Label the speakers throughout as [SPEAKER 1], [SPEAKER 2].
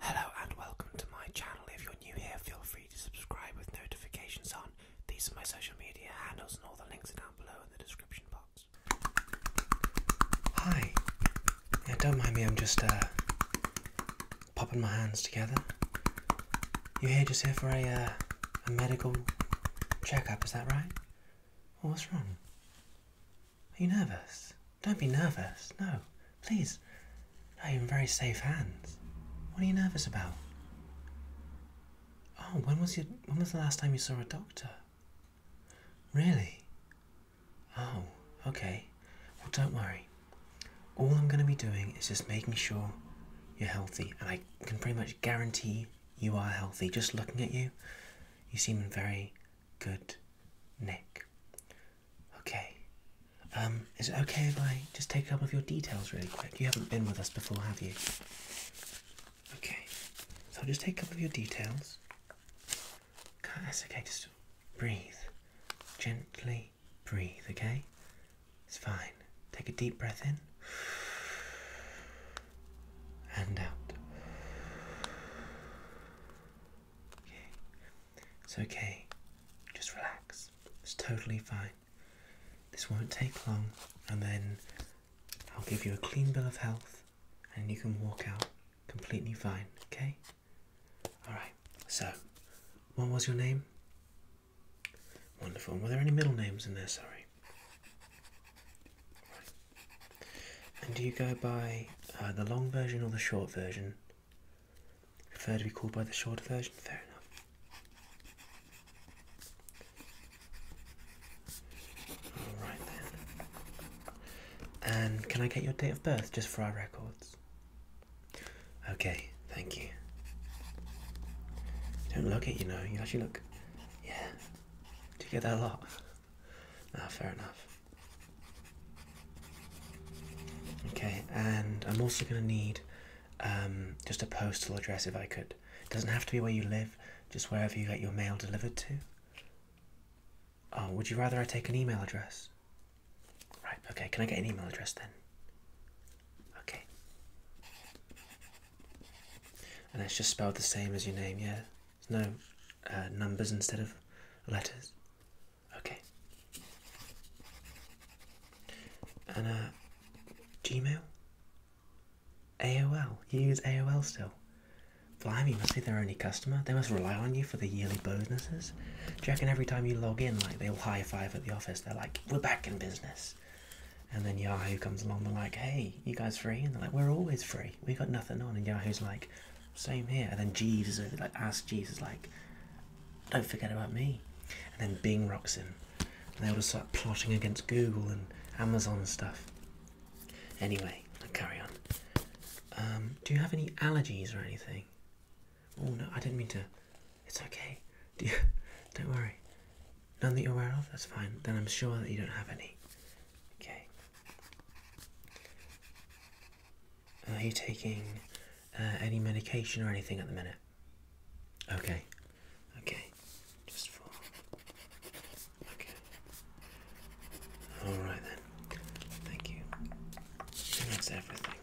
[SPEAKER 1] Hello and welcome to my channel. If you're new here, feel free to subscribe with notifications on. These are my social media handles, and all the links are down below in the description box. Hi. Yeah, don't mind me. I'm just uh, popping my hands together. You're here just here for a uh, medical checkup, is that right? what's wrong? Are you nervous? Don't be nervous. No, please. No, you're in very safe hands. What are you nervous about? Oh, when was your, when was the last time you saw a doctor? Really? Oh, okay. Well, don't worry. All I'm going to be doing is just making sure you're healthy, and I can pretty much guarantee you are healthy. Just looking at you, you seem very good nick. Okay. Um, is it okay if I just take a couple of your details really quick? You haven't been with us before, have you? Okay. So I'll just take a couple of your details. Okay. that's okay, just breathe. Gently breathe, okay? It's fine. Take a deep breath in. And out. It's okay. Just relax. It's totally fine. This won't take long, and then I'll give you a clean bill of health, and you can walk out completely fine, okay? Alright, so what was your name? Wonderful. Were there any middle names in there? Sorry. And do you go by uh, the long version or the short version? prefer to be called by the shorter version, fair enough. Alright then. And can I get your date of birth just for our records? Okay, thank you. You don't look it, you know, you actually look. Yeah. Do you get that a lot? Ah, fair enough. Okay, and I'm also going to need um, just a postal address if I could. It doesn't have to be where you live, just wherever you get your mail delivered to. Oh, would you rather I take an email address? Right, okay, can I get an email address then? Okay. And it's just spelled the same as your name, yeah? no uh, numbers instead of letters. Okay. And uh, Gmail? AOL. You use AOL still? Blimey, must be their only customer. They must rely on you for the yearly bonuses. Do you every time you log in, like they'll high five at the office? They're like, "We're back in business." And then Yahoo comes along, they're like, "Hey, you guys free?" And they're like, "We're always free. We got nothing on." And Yahoo's like, same here. And then Jesus like asks Jesus like, don't forget about me. And then Bing rocks in. they all just start plotting against Google and Amazon and stuff. Anyway, I'll carry on. Um, do you have any allergies or anything? Oh no, I didn't mean to. It's okay. don't worry. None that you're aware of? That's fine. Then I'm sure that you don't have any. Okay. Are you taking uh, any medication or anything at the minute? Okay, okay, just for. Okay. Alright then. Thank you. And that's everything.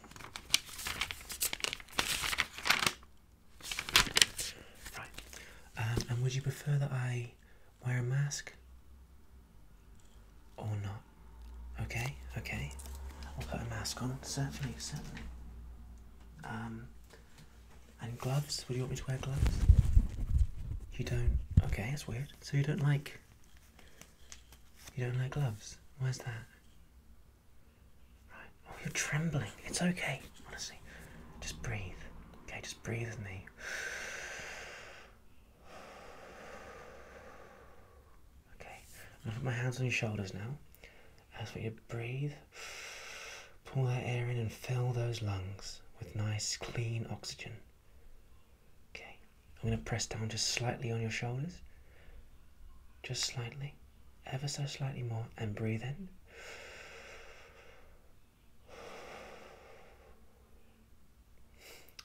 [SPEAKER 1] Right. Um, and would you prefer that I wear a mask or not. Okay, okay. I'll put a mask on, certainly, certainly. Um, and gloves? Would you want me to wear gloves? You don't. Okay, it's weird. So you don't like. You don't like gloves? Why's that? Right. Oh, you're trembling. It's okay, honestly. Just breathe. Okay, just breathe with me. Okay, I put my hands on your shoulders now. As for you breathe, pull that air in and fill those lungs with nice clean oxygen. Okay, I'm going to press down just slightly on your shoulders, just slightly, ever so slightly more, and breathe in.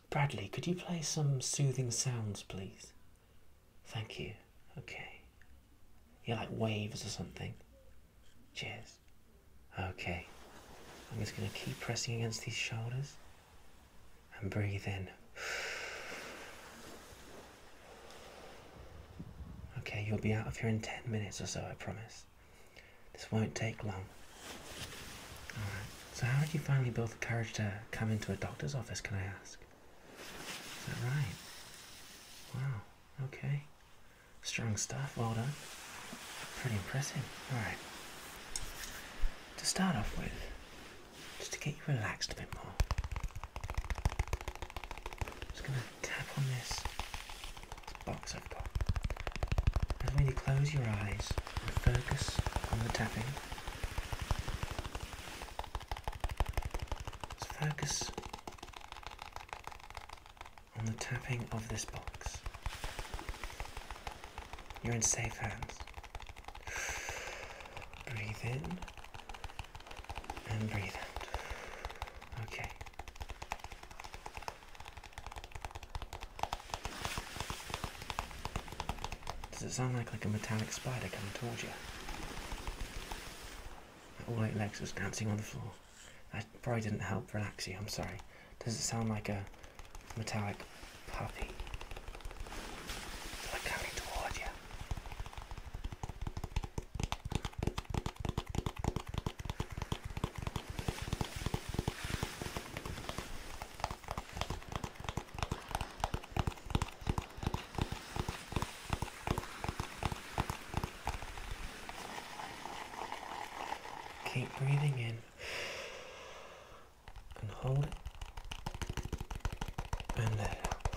[SPEAKER 1] Bradley, could you play some soothing sounds, please? Thank you. Okay. Yeah, like waves or something. Cheers. Okay. I'm just going to keep pressing against these shoulders and breathe in. Okay, you'll be out of here in 10 minutes or so, I promise this. won't take long. so how did you finally build the courage to come into a doctor's office, can I ask? Is that right? Wow, okay. Strong stuff, well done. Pretty impressive. Alright. To start off with, just to get you relaxed a bit more, I'm just going to tap on this box i And when you close your eyes and focus on the tapping, focus on the tapping of this box. You're in safe hands. Breathe in and breathe out. Okay. Does it sound like, like a metallic spider coming towards you? All eight legs was dancing on the floor. That probably didn't help relax you, I'm sorry. Does it sound like a metallic puppy? coming towards you? Keep breathing in and hold it and let it out.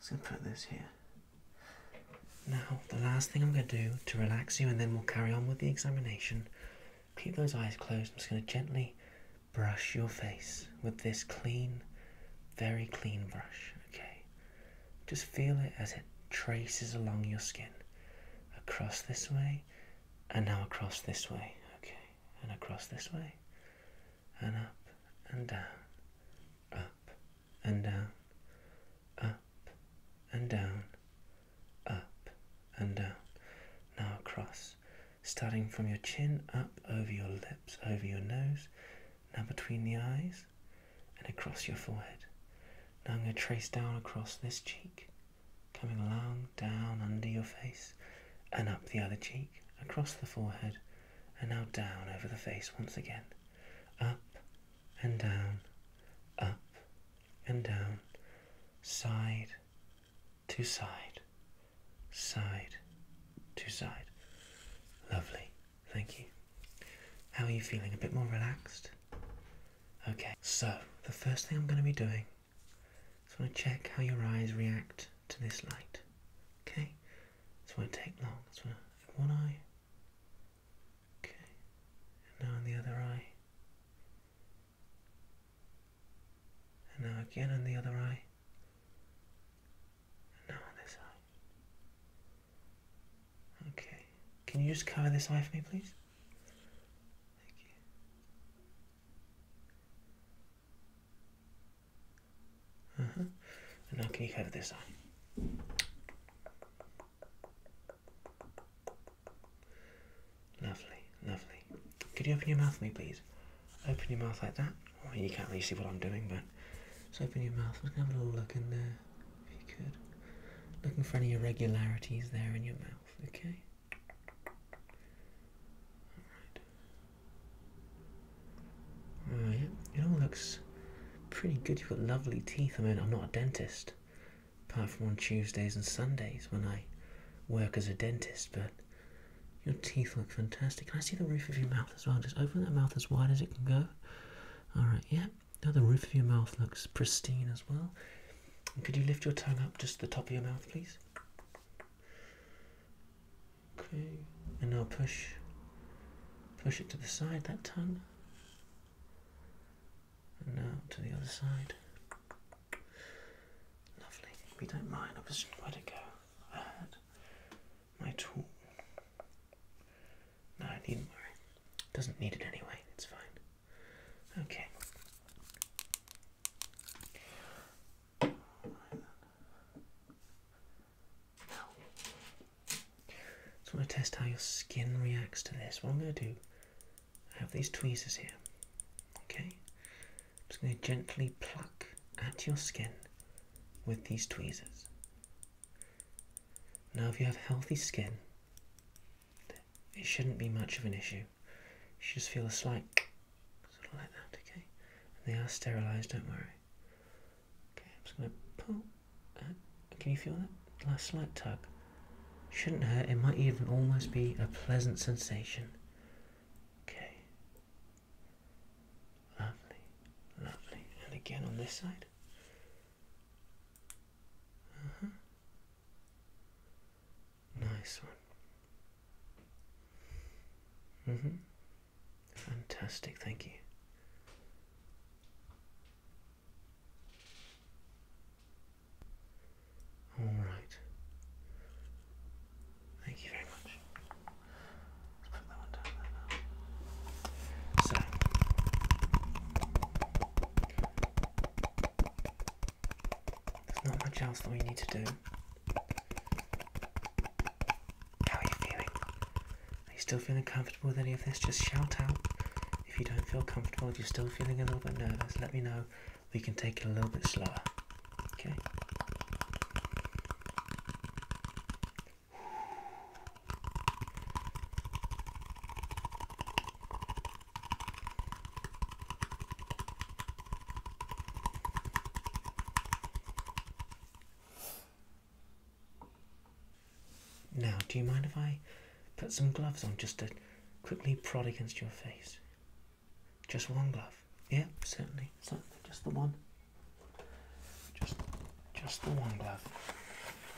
[SPEAKER 1] just gonna put this here. Now, the last thing I'm gonna do to relax you, and then we'll carry on with the examination. Keep those eyes closed. I'm just gonna gently brush your face with this clean, very clean brush. Okay. Just feel it as it traces along your skin, across this way, and now across this way. Okay, and across this way and up and down, up and down, up and down, up and down. Now across, starting from your chin up over your lips, over your nose, now between the eyes and across your forehead. Now I'm going to trace down across this cheek, coming along down under your face and up the other cheek, across the forehead and now down over the face once again. Up and down, up and down, side to side, side to side. Lovely, thank you. How are you feeling? A bit more relaxed? Okay, so the first thing I'm going to be doing is I want to check how your eyes react to this light. Okay, this won't take long. This one, one eye. Okay, and now on the other eye. And now again on the other eye. And now on this eye. Okay, can you just cover this eye for me, please? Thank you. Uh mm-hmm. -huh. And now can you have this on? Lovely, lovely. Could you open your mouth for me, please? Open your mouth like that. you can't really see what I'm doing, but just open your mouth. Let's have a little look in there, if you could. Looking for any irregularities there in your mouth, okay? All right. It all looks pretty good. You've got lovely teeth. I mean, I'm not a dentist, apart from on Tuesdays and Sundays when I work as a dentist, but your teeth look fantastic. Can I see the roof of your mouth as well? Just open that mouth as wide as it can go. All right, yeah. Now the roof of your mouth looks pristine as well. could you lift your tongue up just the top of your mouth, please? Okay, and now push, push it to the side, that tongue, and now to the other side. Lovely. We don't mind. I was ready to go. I had my tool. No, I needn't worry. Doesn't need it anyway. It's fine. Okay. Right now, just want to test how your skin reacts to this. What I'm going to do, I have these tweezers here. Okay, I'm just going to gently pluck at your skin with these tweezers. Now, if you have healthy skin, it shouldn't be much of an issue you. You just feel a slight sort of like that, okay? they are sterilised, don't worry. Okay, I'm just going to pull. can you feel that last slight tug? Shouldn't hurt, it might even almost be a pleasant sensation. Okay. Lovely, lovely. And again on this side. Uh -huh. Nice one. Mm-hmm. Fantastic, thank you. All right. Thank you very much. Let's put that one down there now. So there's not much else that we need to do. How are you feeling? Are you still feeling comfortable with any of this? Just shout out. If you don't feel comfortable, if you're still feeling a little bit nervous, let me know. We can take it a little bit slower. Okay? Now, do you mind if I put some gloves on just to quickly prod against your face? Just one glove. Yeah, certainly, certainly. Just the one. Just, just the one glove.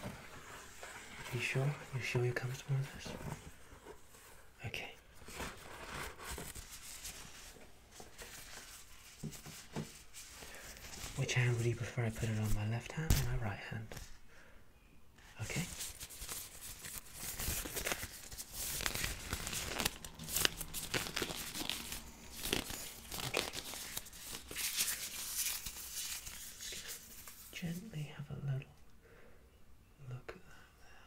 [SPEAKER 1] Are You sure? You sure you're comfortable with this? Okay. Which hand would you prefer I put it on my left hand or my right hand? Okay. Gently have a little look at that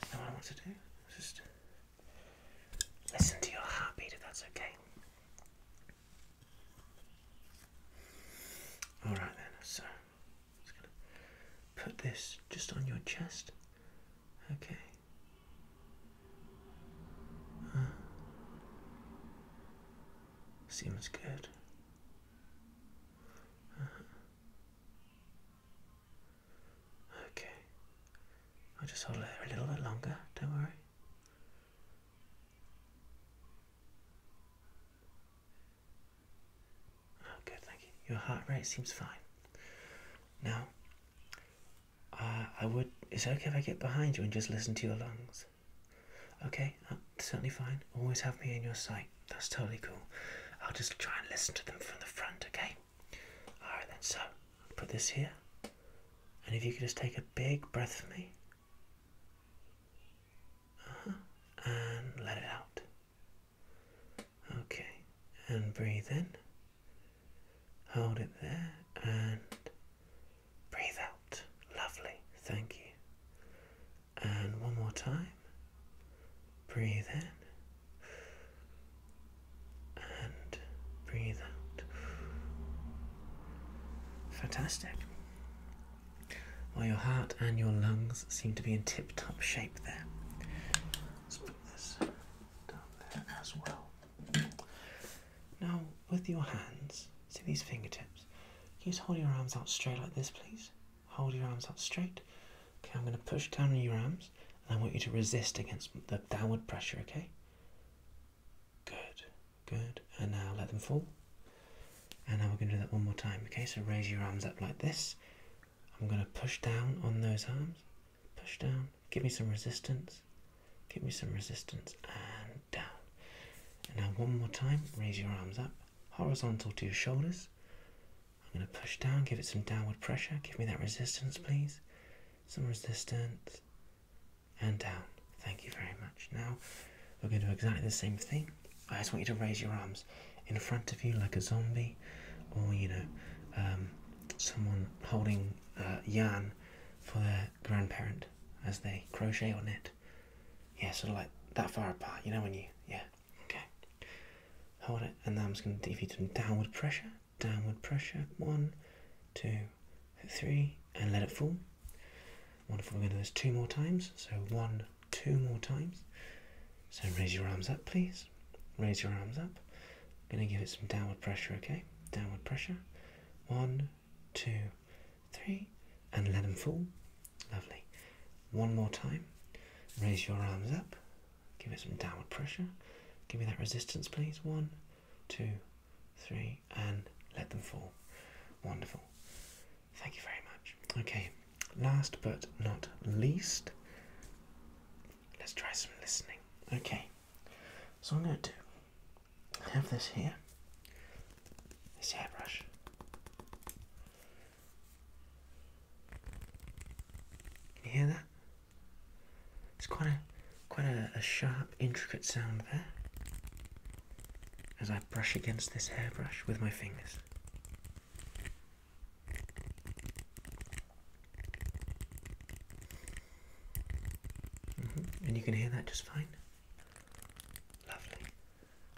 [SPEAKER 1] That's I want to do. Just listen to your heartbeat if that's okay. Alright then, so just gonna put this just on your chest. Okay. Uh, seems good. Uh-huh. Okay. I'll just hold it a little bit longer, don't worry. Oh, good, thank you. Your heart rate seems fine. Now, uh, I would. It's okay if I get behind you and just listen to your lungs? Okay, uh, certainly fine. Always have me in your sight that's totally cool. I'll just try and listen to them from the front, okay? Alright then, so put this here. And if you could just take a big breath for me. Uh -huh. And let it out. Okay. And breathe in. Hold it there. And breathe out. Lovely. Thank you. And one more time. Breathe in and breathe out. Fantastic. Well, your heart and your lungs seem to be in tip top shape there. Let's put this down there as well. Now, with your hands, see these fingertips? Please hold your arms out straight like this, please? Hold your arms up straight. Okay, I'm going to push down on your arms and I want you to resist against the downward pressure, okay? Good, good. And now let them fall. And now we're going to do that one more time, okay? So raise your arms up like this. I'm going to push down on those arms. Push down. Give me some resistance. Give me some resistance. And down. And now one more time. Raise your arms up. Horizontal to your shoulders. I'm going to push down, give it some downward pressure. Give me that resistance, please. Some resistance. And down. Thank you very much. Now, we're going to do exactly the same thing. I just want you to raise your arms in front of you like a zombie or, you know, um, someone holding uh, yarn for their grandparent as they crochet or knit. Yeah, sort of like that far apart. You know when you, yeah, Okay. Hold it, and then I'm just going to defeat some downward pressure. Downward pressure. One, two, three, and let it fall. Wonderful. We're going to do this two more times. So one, two more times. So raise your arms up, please. Raise your arms up. I'm going to give it some downward pressure. Okay. Downward pressure. One, two, three, and let them fall. Lovely. One more time. Raise your arms up. Give it some downward pressure. Give me that resistance, please. One, two, three, and let them fall. Wonderful. Thank you very much. Okay, last but not least, let's try some listening. Okay, so I'm going to do, I have this here, this hairbrush, can you hear that? It's quite a quite a, sharp, intricate sound there. As I brush against this hairbrush with my fingers. Mm-hmm. And you can hear that just fine. Lovely.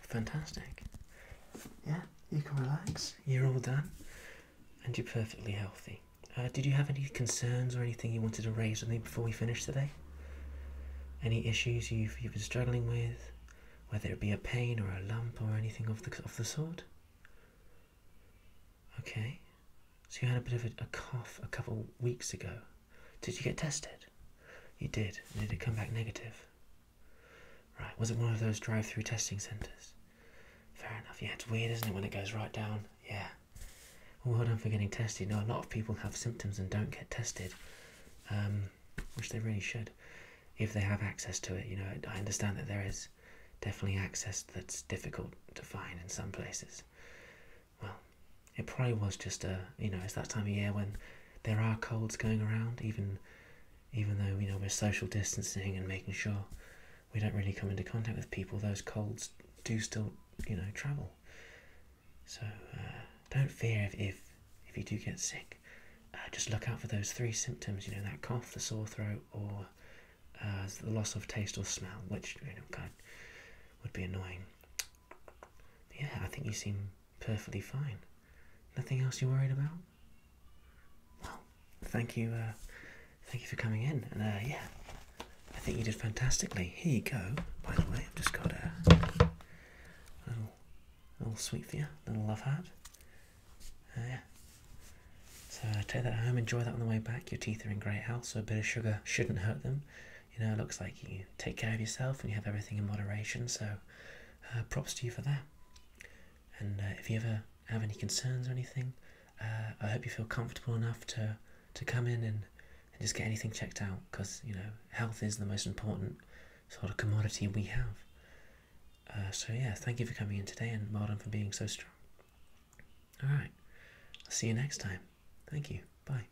[SPEAKER 1] Fantastic. Yeah, you can relax. You're all done, and you're perfectly healthy. Uh, did you have any concerns or anything you wanted to raise with me before we finish today? Any issues you've you've been struggling with, whether it be a pain or a lump or anything of the of the sort? Okay, so you had a bit of a, a cough a couple weeks ago. Did you get tested? You did. And did it come back negative? Right. Was it one of those drive-through testing centres? Fair enough. Yeah, it's weird, isn't it, when it goes right down? Yeah. Well oh, done for getting tested. You a lot of people have symptoms and don't get tested, um, which they really should, if they have access to it. You know, I understand that there is definitely access that's difficult to find in some places. Well, it probably was just a you know it's that time of year when there are colds going around, even even though you know we're social distancing and making sure we don't really come into contact with people. Those colds do still you know travel. So uh, don't fear if, if if you do get sick. Uh, just look out for those three symptoms. You know that cough, the sore throat, or uh, the loss of taste or smell, which God would be annoying yeah, I think you seem perfectly fine. Nothing else you're worried about? Well, thank you, uh, thank you for coming in. And uh, yeah, I think you did fantastically. Here you go. By the way, I've just got a little, little sweet for you, little love heart. Uh, yeah. So take that home, enjoy that on the way back. Your teeth are in great health, so a bit of sugar shouldn't hurt them you know, it looks like you take care of yourself and you have everything in moderation. So, uh, props to you for that. And uh, if you ever have any concerns or anything, uh, I hope you feel comfortable enough to to come in and, just get anything checked out because you know health is the most important sort of commodity we have. so yeah, thank you for coming in today, and well for being so strong. All right, I'll see you next time. Thank you. Bye.